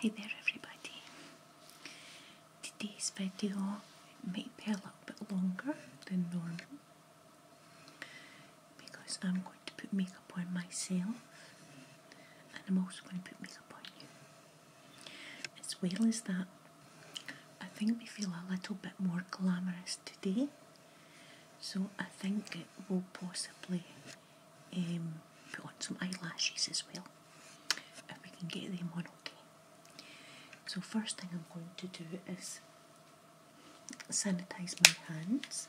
Hi there everybody. Today's video may be a little bit longer than normal because I'm going to put makeup on myself and I'm also going to put makeup on you. As well as that, I think we feel a little bit more glamorous today, so I think we will possibly um, put on some eyelashes as well if we can get them on okay. So, first thing I'm going to do is sanitize my hands.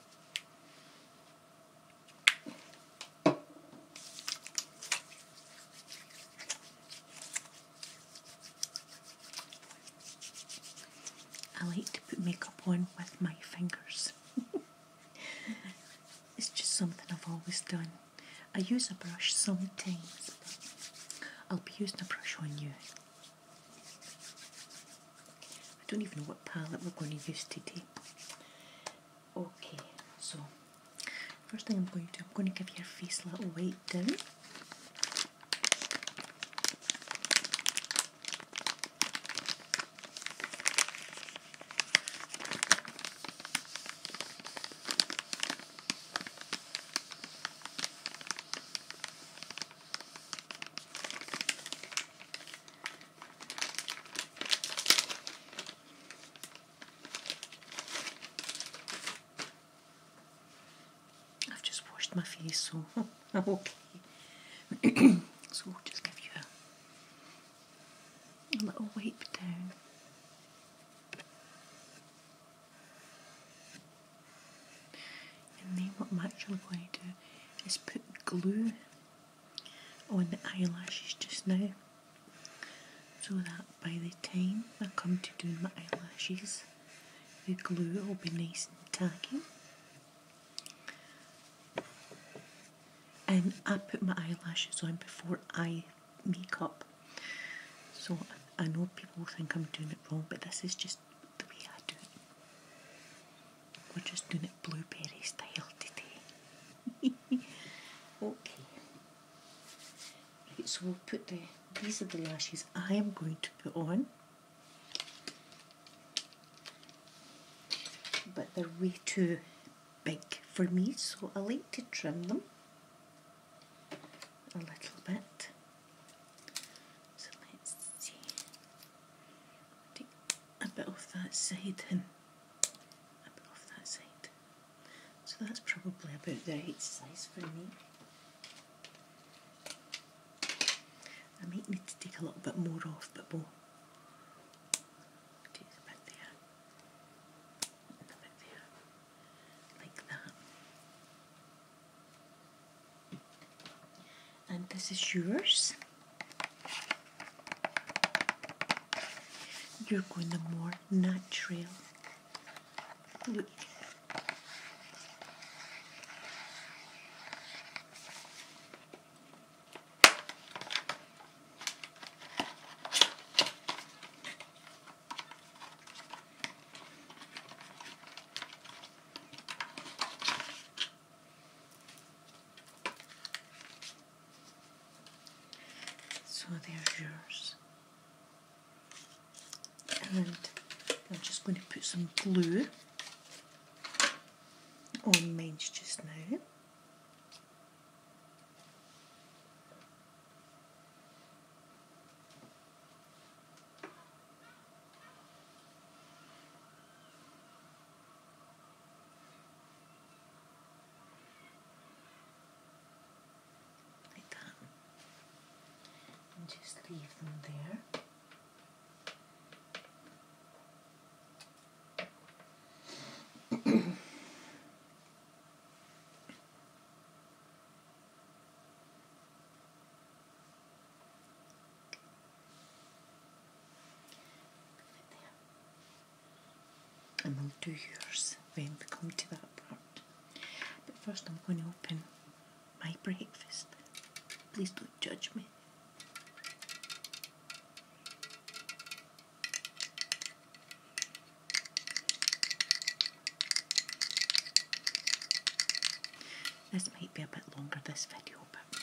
I like to put makeup on with my fingers. it's just something I've always done. I use a brush sometimes, I'll be using a brush on you. I don't even know what palette we're going to use today. Okay, so first thing I'm going to do, I'm going to give your face a little weight down. I've just washed my face, so I'm okay. so we'll just give you a, little wipe down. And then what I'm actually going to do is put glue on oh, the eyelashes just now so that by the time I come to doing my eyelashes the glue will be nice and tacky and I put my eyelashes on before I make up, so I know people think I'm doing it wrong but this is just the way I do it we're just doing it blueberry style today okay. so we'll put the, these are the lashes I am going to put on. But they're way too big for me, so I like to trim them a little bit. So let's see. Take a bit off that side and a bit off that side. So that's probably about the right size for me. I might need to take a little bit more off but more. a bit there, a bit there, like that. And this is yours. You're going to more natural. Look. So there's yours. And I'm just going to put some glue on mine just now. Like that. And just leave them there. There and I'll do yours when we come to that part. But first, I'm going to open my breakfast. Please don't judge me. This might be a bit longer, this video, but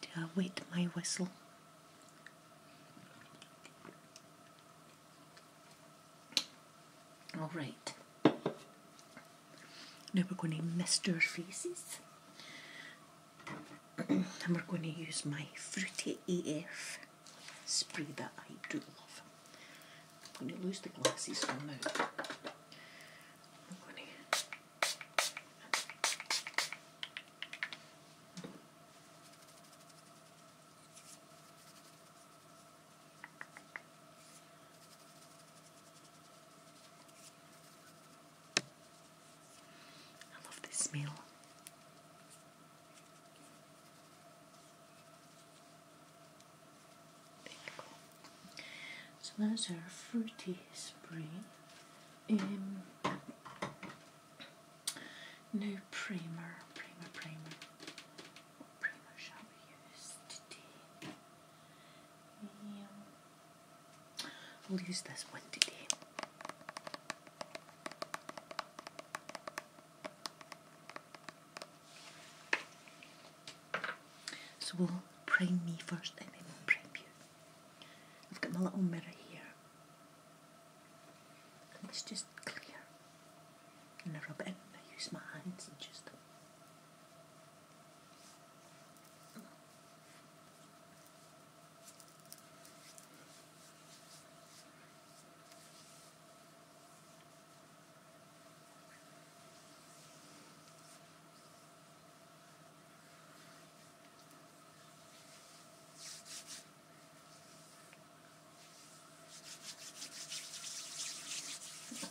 do I wet my whistle all right. Now we're going to mist our faces. and we're going to use my Fruity AF spray that I do love. I'm going to lose the glasses for now. I'm I love this meal. There you go. So those are fruity spring. Um, New primer, primer, primer. What primer shall we use today? Um, we'll use this one today. So we'll prime me first and then we'll prime you. I've got my little mirror here. And it's just clear. And I rub it and I use my hands and just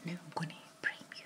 no, I'm gonna frame you.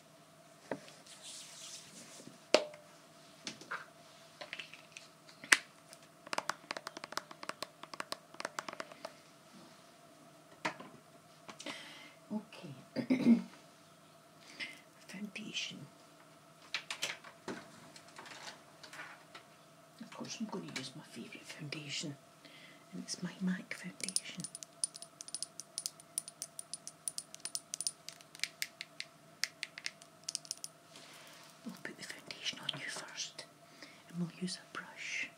Okay. Foundation. Of course I'm going to use my favourite foundation and it's my MAC foundation. We'll put the foundation on you first and we'll use a brush.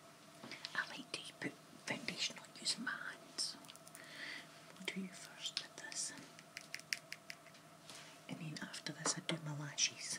I like to put foundation on using my hands. We'll do you first with this. And then after this I do my lashes.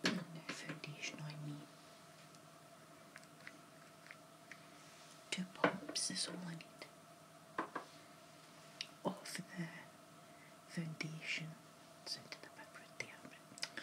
foundation Two pumps is all I need. All the foundation. So into the background there.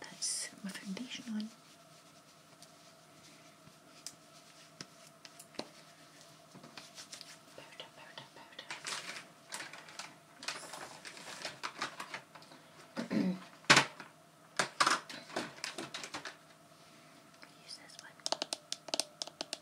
that's my foundation on. Powder, powder, powder. Use this one.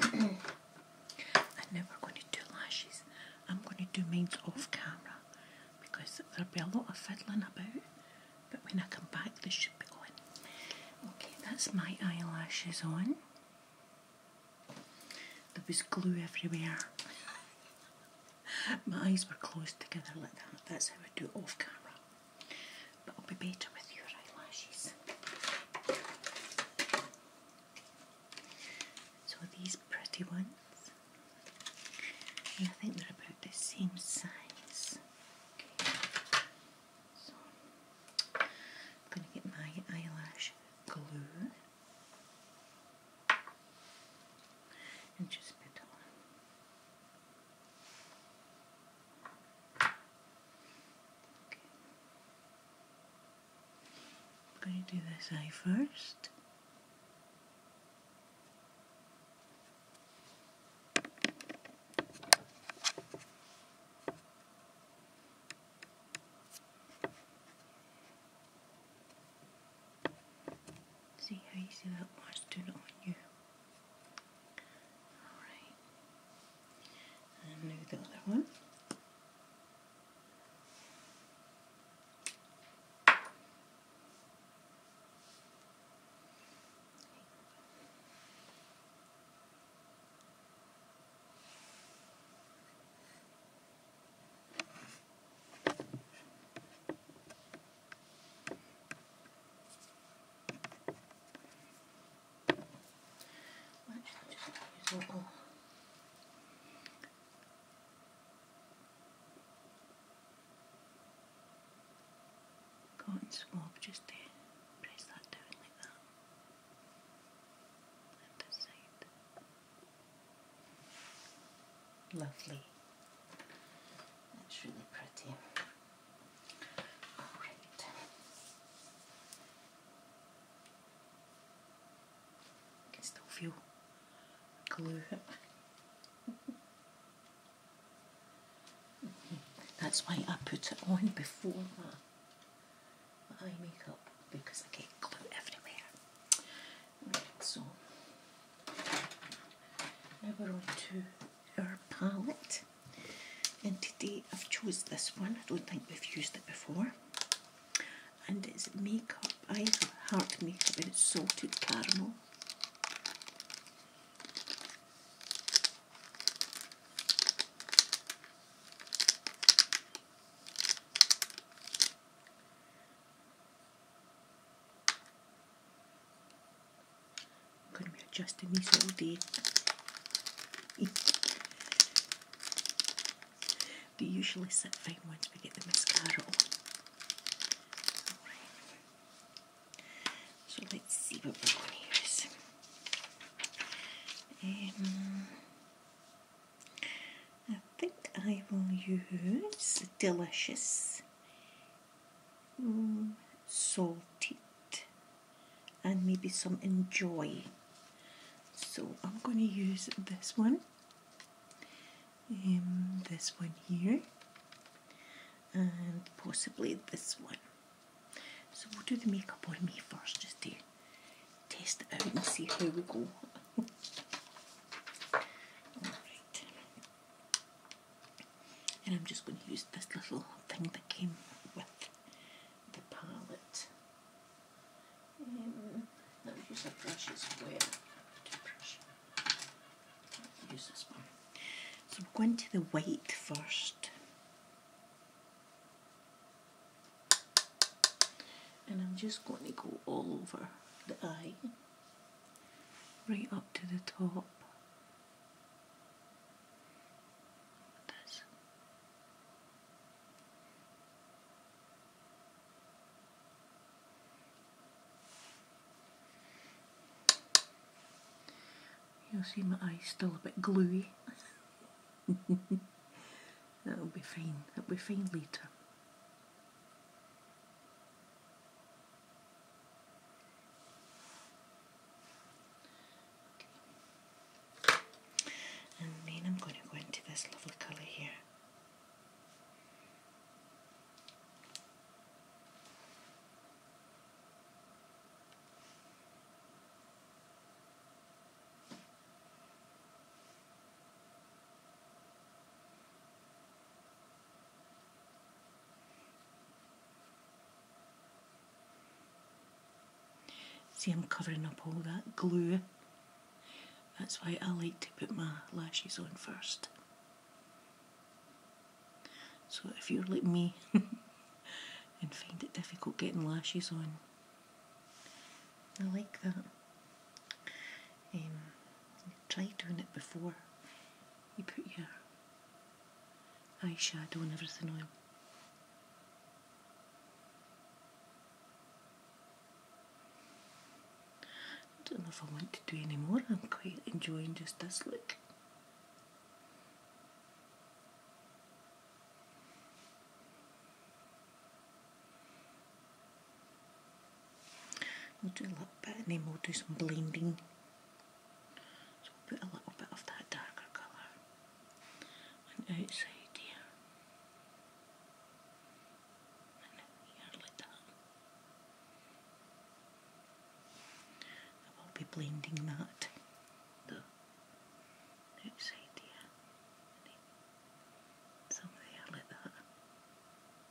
I'm never going to do lashes. I'm going to do mine off camera because there'll be a lot of fiddling about. But when I come back, this should be going. Okay, that's my eyelashes on. There was glue everywhere. my eyes were closed together like that. That's how I do it off camera but it'll be better with your eyelashes. So these pretty ones, I think they're about the same size. So I'm going to get my eyelash glue and just put on. I'm going to do this eye first. See how easy that was to on you. Alright. And do the other one cotton swab just press that down like that. And side. Lovely. That's really pretty. I can still feel glue. That's why I put it on before my, my eye makeup because I get glue everywhere. so now we our palette and today I've chosen this one, I don't think we've used it before and it's makeup, I heart makeup and it's salted caramel I'm going to be adjusting these all day. they usually sit fine once we get the mascara on. So let's see what we're going to use. I think I will use Delicious mm, salted and maybe some enjoy so I'm going to use this one um, this one here and possibly this one so we'll do the makeup on me first just to test it out and see how we go Alright, and I'm just going to use this little thing that came with the palette. let me use a brush as well. Brush. Use this one. So I'm going to the white first. And I'm just going to go all over the eye, right up to the top. You'll see my eye's still a bit gluey. That'll be fine. That'll be fine later. And then I'm going to go into this lovely colour here. See, I'm covering up all that glue. That's why I like to put my lashes on first. So if you're like me and find it difficult getting lashes on, I like that. Um, try doing it before you put your eyeshadow and everything on. I don't know if I want to do any more, I'm quite enjoying just this look. We'll do a little bit and then we'll do some blending. So we'll put a little bit of that darker colour on outside here. And here like that. I will be blending that outside here. Some like that.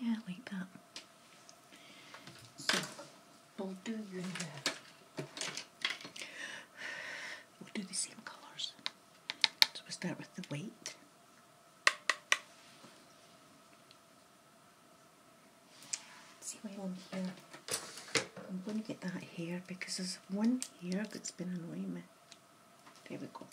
Yeah, like that. So we'll do your uh, we'll do the same colours. So we'll start with the white. See why I'm here, I'm going to get that hair because there's one hair that's been annoying me. There we go.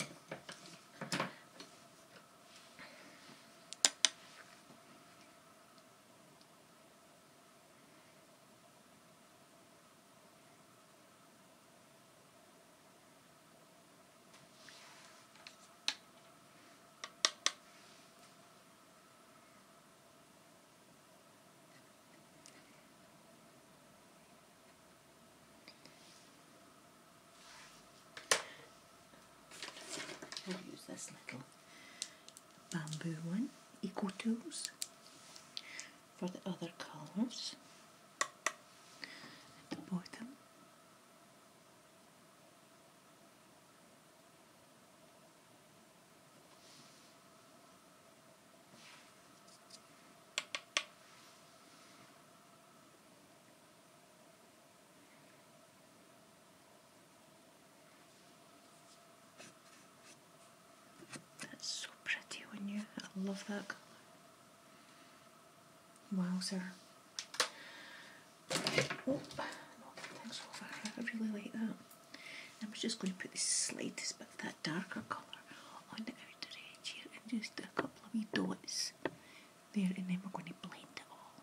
We'll use this little bamboo one, Eco Tools, for the other colours at the bottom. That's so pretty when you I love that Wow, sir. I really like that. Um, I'm just going to put the slightest bit of that darker colour on the outer edge here and just a couple of wee dots there and then we're going to blend it all.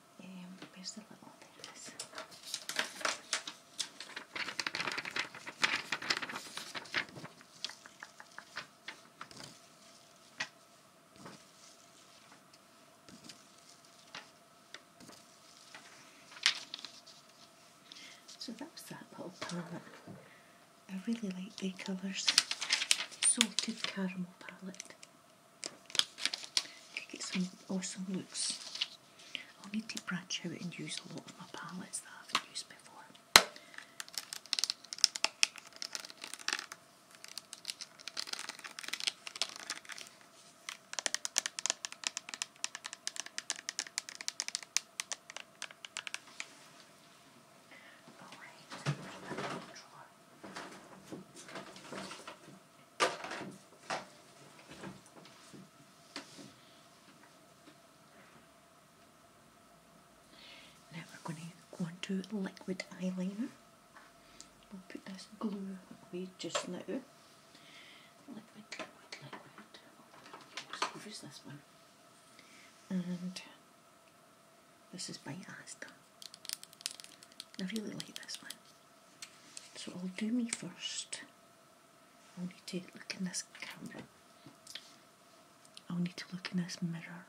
Um, where's the little? There So that was that little palette. I really like the colours. Salted Caramel palette. You get some awesome looks. I'll need to branch out and use a lot of my palettes that I haven't used before. Now we're going to go on liquid eyeliner. We'll put this glue away just now. use this one. And this is by Asda. I really like this one. So I'll do me first. I'll need to look in this camera. I'll need to look in this mirror.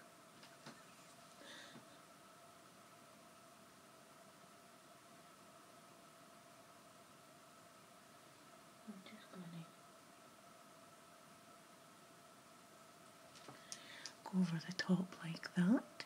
I'm just going to go over the top like that.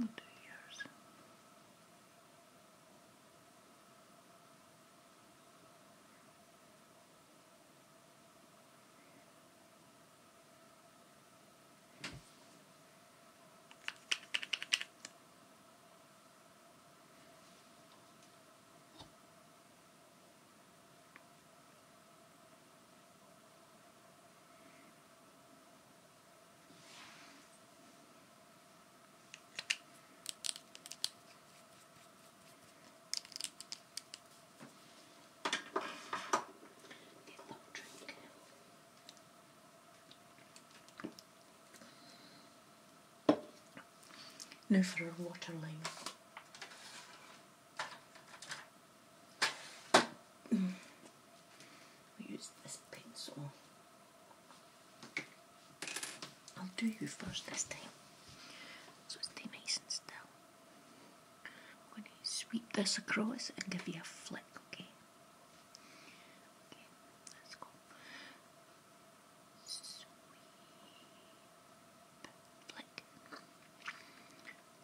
and two years drink. Now for our waterline we will use this pencil. I'll do you first this time. So stay nice and still. I'm going to sweep this across and give you a flick, okay? Okay, let flick.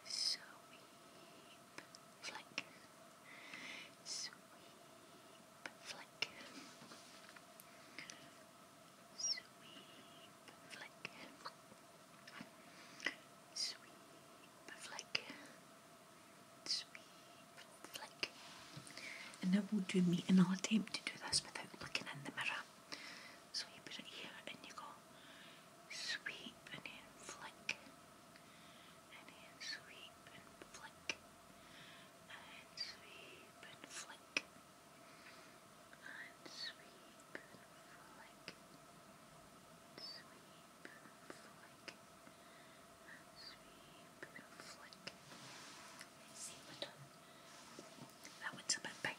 Sweep, flick. Sweep, flick. Sweep, flick. Sweep, flick. Sweep, flick. And that will do me, and I'll attempt to do this without looking in the mirror. So you put it here and you go sweep and flick, and in and flick, and sweep and flick, and sweep and flick, sweep and flick, and sweep and flick. That one's a bit big.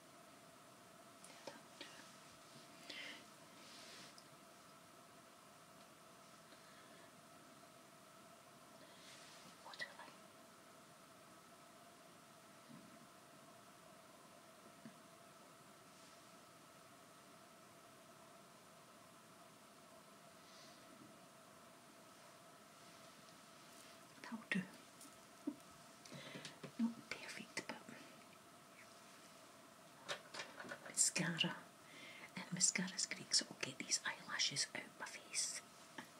Waterline. that do. Not perfect, but mascara. And mascara's great, so I'll get these eyelashes out my face.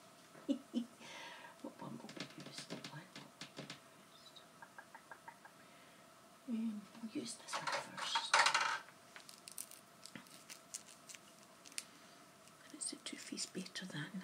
what one will we um, we'll use this one first. And it's a Too Better Than.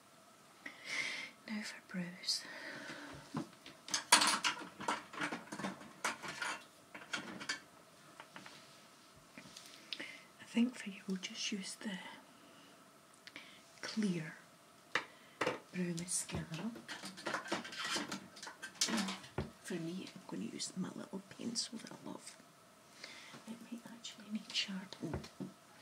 Now for Bruce, I think for you we'll just use the clear brow mascara. For me, I'm going to use my little pencil that I love. It might actually need sharpening.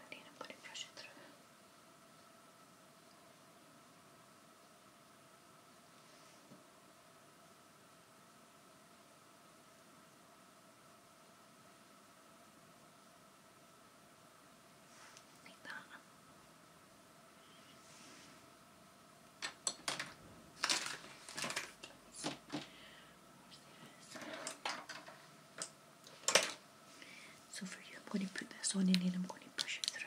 I need to put it pressure through. So for you, I'm going to put this on and then I'm going to push it through.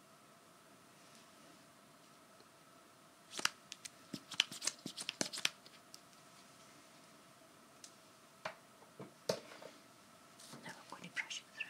Now I'm going to brush it through.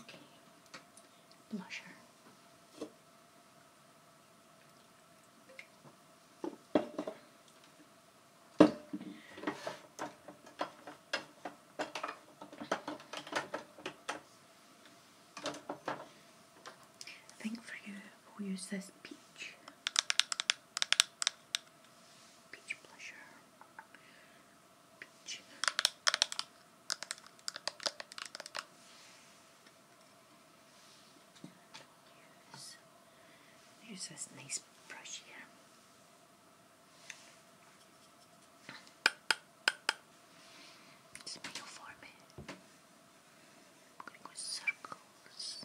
Okay, blusher. I think for you, we use this peach, peach blusher. Peach. Use, this nice brush here. Smile for me. I'm Circles.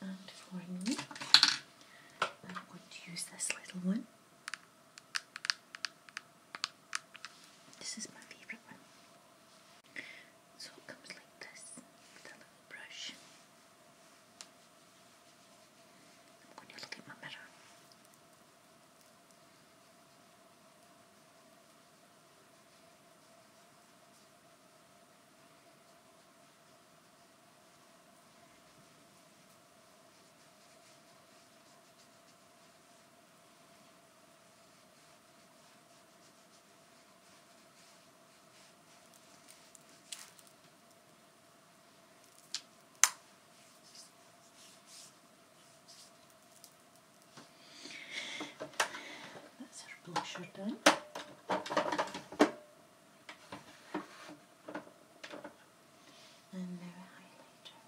And finally, I'm going to use this little one this is my favourite one. So it comes like this with a little brush. I'm look at my mirror. That's our blusher done. And now highlighter.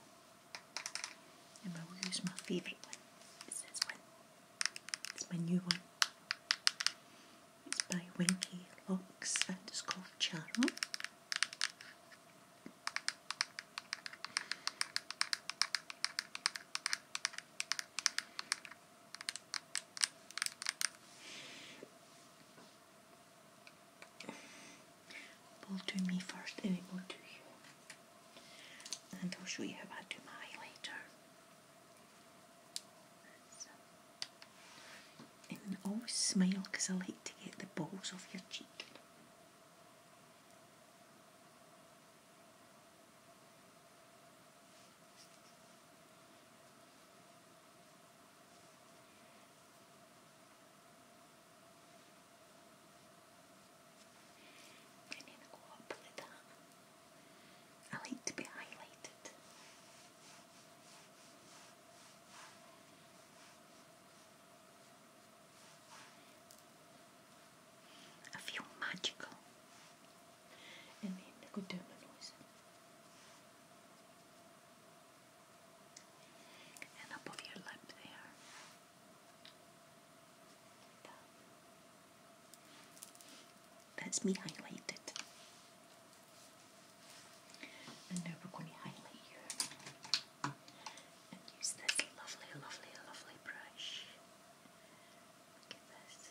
And I will use my favorite one. It's this one. It's my new one. It's by Winky Locks and it's called Charm. Pull to me first and then will do you. And I'll show you how I do my later. And always smile because I like to get the balls off your cheek. I need to go up like I like to be highlighted. I feel magical. And then go down my nose. And above your lip there. That's me highlighted. And now we're going to highlight you and use this lovely, lovely, lovely brush. Look at this.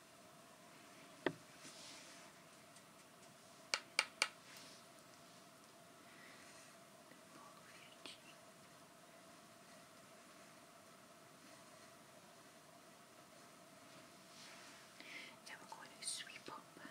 Now we're going to sweep up and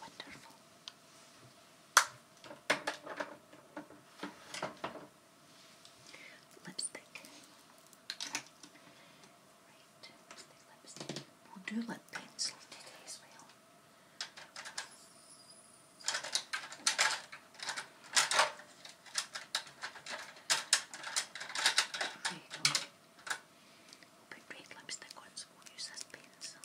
Wonderful. Lipstick. Right, lipstick, We'll do lip pencil today as well. There you We'll put red lipstick on, we'll use this pencil.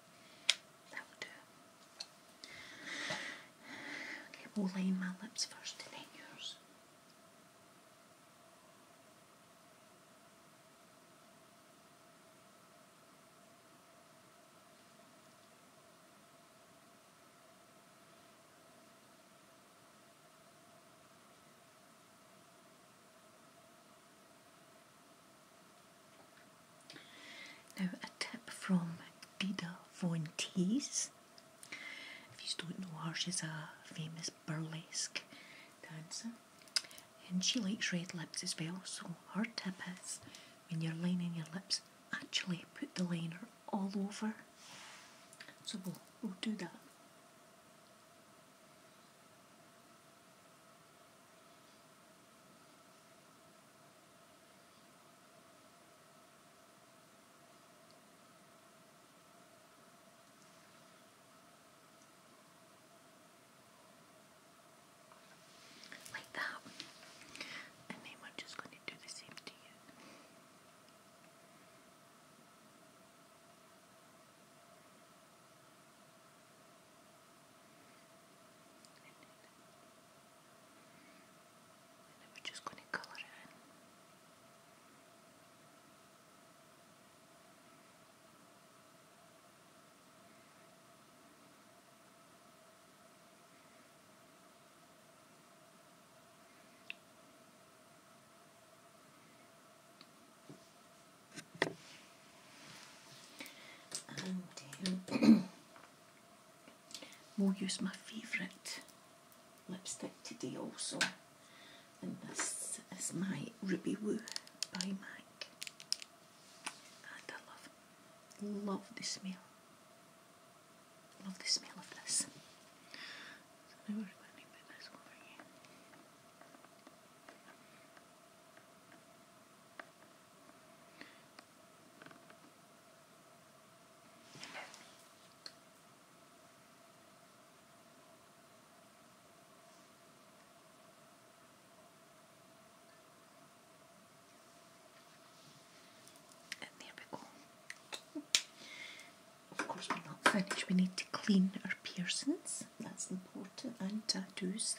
That'll do. Okay, we'll line my lips first and then yours. Now, a tip from Dida Von Teese. If you don't know her, she's a famous burlesque dancer and she likes red lips as well. So, her tip is when you're lining your lips, actually put the liner all over. So, we'll, we'll do that. Like that. And then we're just going to do the same to you. And then we're just going to colour it in. And um, we'll use my favourite lipstick today also. And this is my Ruby Woo by MAC. I love, love the smell. Love the smell of this. And there we go. Of course, we're not finished. We need to clean our piercings. That's important, and tattoos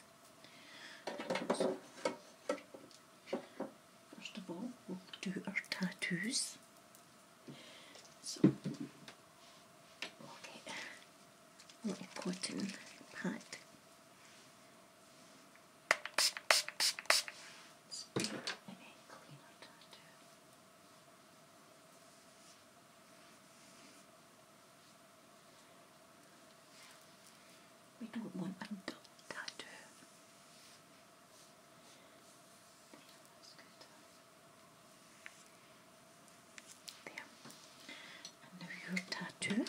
first of all, we'll do our tattoos. So, okay, little cotton pad. We don't want a dull tattoo. Yeah, that's There. And now your tattoo.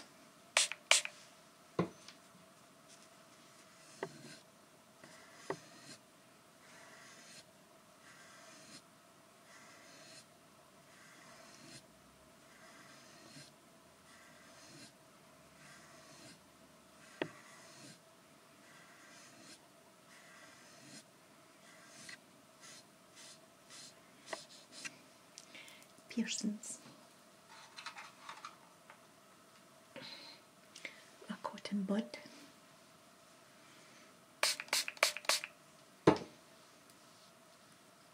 Pearson's. A cotton bud.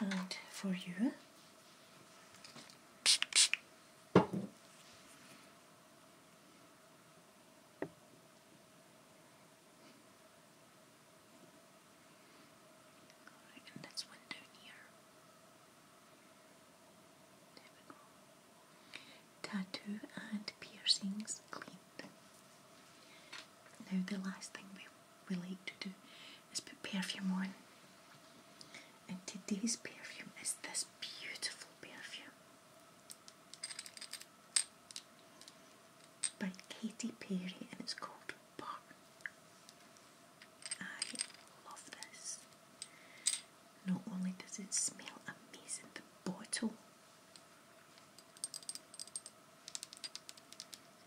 and for you and that's one down here. Tattoo and piercings clean. Now the last thing we, we like to do is put perfume on. And today's perfume is this beautiful perfume by Katy Perry and it's called Burn. I love this. Not only does it smell amazing, the bottle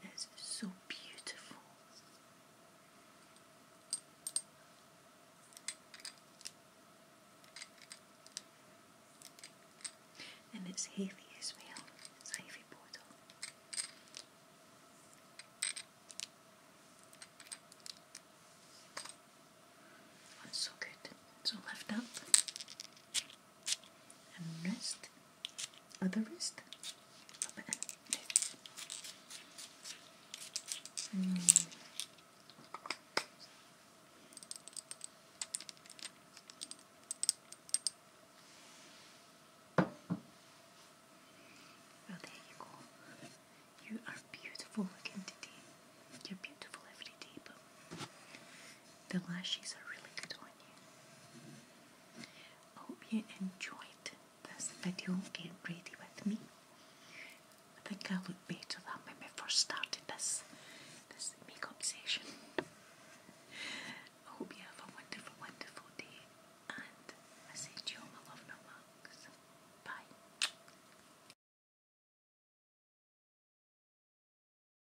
it's so beautiful. And it's heavy as well. It's a heavy bottle. it's so good. So lift up and rest other wrist. Hmm. Well, there you go. You are beautiful looking today. You're beautiful every day, but the lashes are really good on you. I hope you enjoyed this video getting ready with me. I think I look better than when we first started this, this makeup session. I hope you have a wonderful, wonderful day and I say you all my love and hugs. Bye.